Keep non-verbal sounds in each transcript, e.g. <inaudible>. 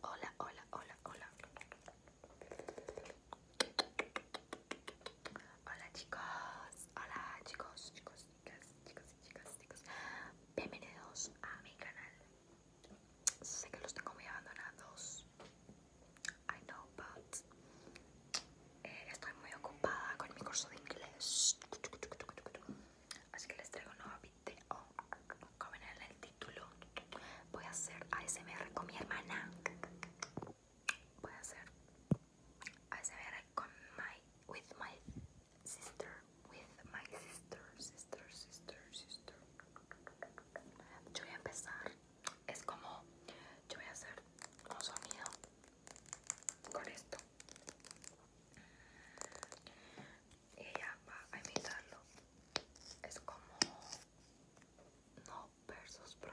Hola, hola, hola, hola. Hola chicos, hola chicos, chicos, chicas, chicos y chicas, chicos. Bienvenidos a mi canal. Sé que los tengo muy abandonados. I know, but eh, estoy muy ocupada con mi curso de inglés. Así que les traigo un nuevo este, oh, el título voy a hacer ASMR con mi hermana voy a hacer ASMR con my with my sister with my sister sister sister sister yo voy a empezar es como yo voy a hacer un sonido con esto y ella va a imitarlo. Es como no versus pro.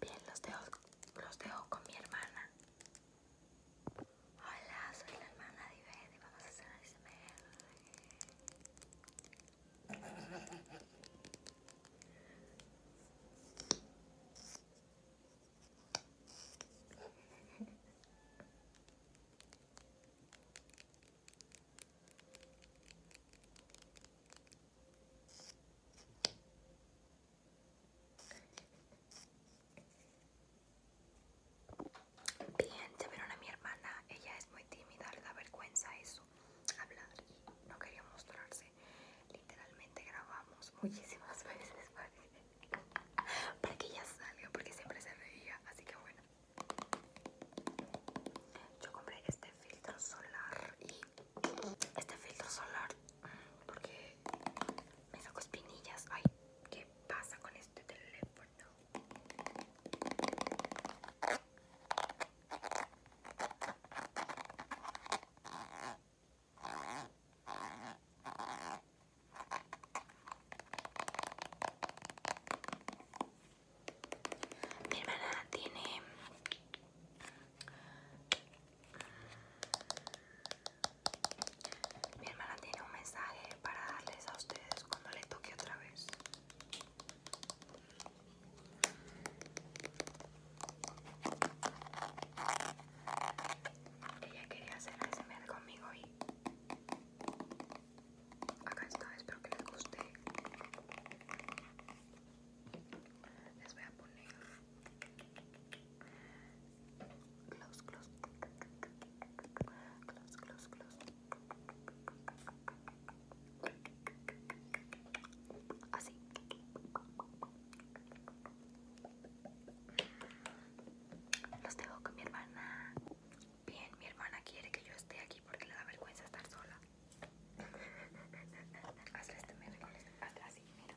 Bien, los dejo, los dejo con mi hermana. Hola, soy la hermana de Ivette y vamos a hacer el Bien, vieron a mi hermana. Ella es muy tímida, le da vergüenza eso, hablar y no quería mostrarse. Literalmente grabamos muchísimas <laughs> veces <laughs> para que ya salga porque siempre se veía así que bueno yo compré este filtro solar y este filtro solar porque me saco espinillas ay qué pasa con este teléfono mi hermana tiene mi hermana tiene un mensaje para darles a ustedes cuando le toque otra vez. Ella quería hacer ASMR conmigo y acá está, espero que les guste. Les voy a poner close, close, close, close, close. Así. Los tengo con mi hermana. Bien, mi hermana quiere que yo esté aquí porque le da vergüenza estar sola. Hazle este miércoles. Hazle así, mira.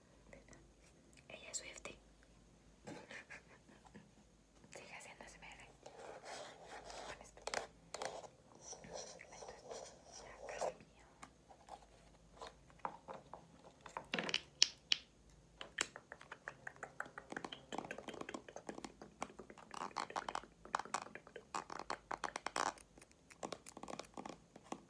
Ella es suerte <laughs> Sigue haciendo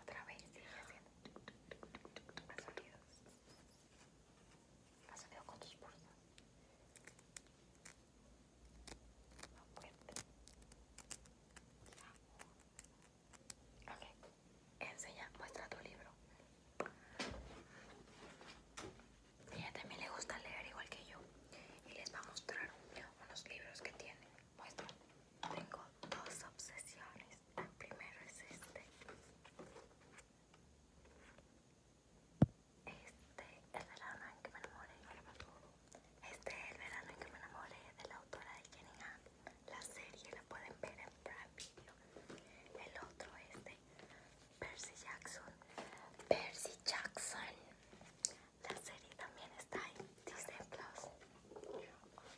Otra vez sigue haciendo Haz sonidos. con tus pulsos. Ok. Enseña, muestra tu libro. Ella también le gusta leer igual que yo. Y les va a mostrar unos libros que tiene. Muestra. Tengo dos obsesiones. El primero es este este, el verano en que me enamore este es el verano en que me enamoré de la autora de Jenny Han la serie la pueden ver en Prime Video el otro es de Percy Jackson Percy Jackson la serie también está en Disney Plus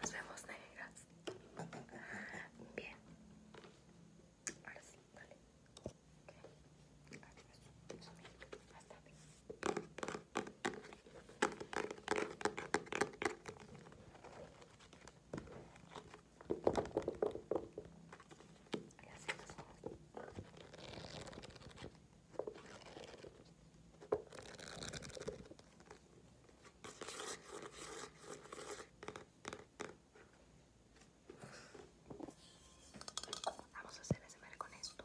Nos vemos negras. Bien. Ahora sí, dale. Okay. Adiós. Hasta luego vamos. a hacer ese con esto.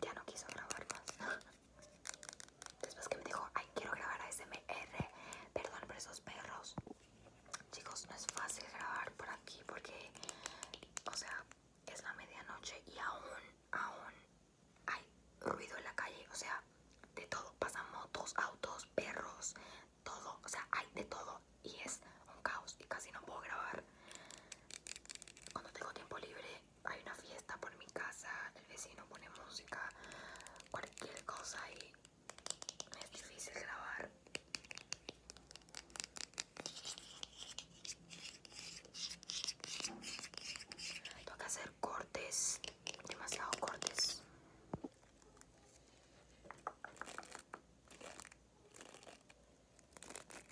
ya no quiso grabar más. <laughs> Después que me dijo, ay, quiero grabar a ASMR, perdón por esos perros. Chicos, no es fácil grabar por aquí porque, o sea, es la medianoche y aún, aún hay ruido en la calle. O sea, de todo. Pasan motos, autos, perros, todo. O sea, hay de todo y es un caos y casi no puedo grabar cuando tengo tiempo libre hay una fiesta por mi casa el vecino pone música cualquier cosa y es difícil grabar Tengo que hacer cortes demasiados cortes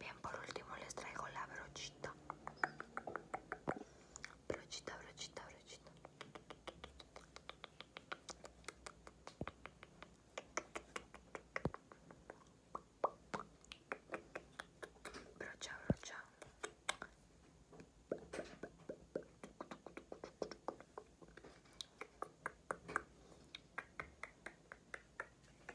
Bien, por último les traigo la brochita. Brochita, brochita, brochita. Brocha, brocha.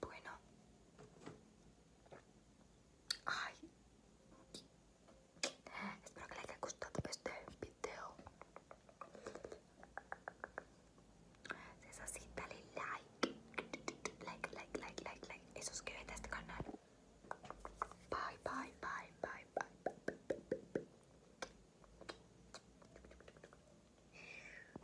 Bueno. Ay. Espero que les haya gustado este video. Si es así, dale like. Like, like, like, like, like. Y suscríbete a este canal. bye, bye, bye, bye, bye, bye.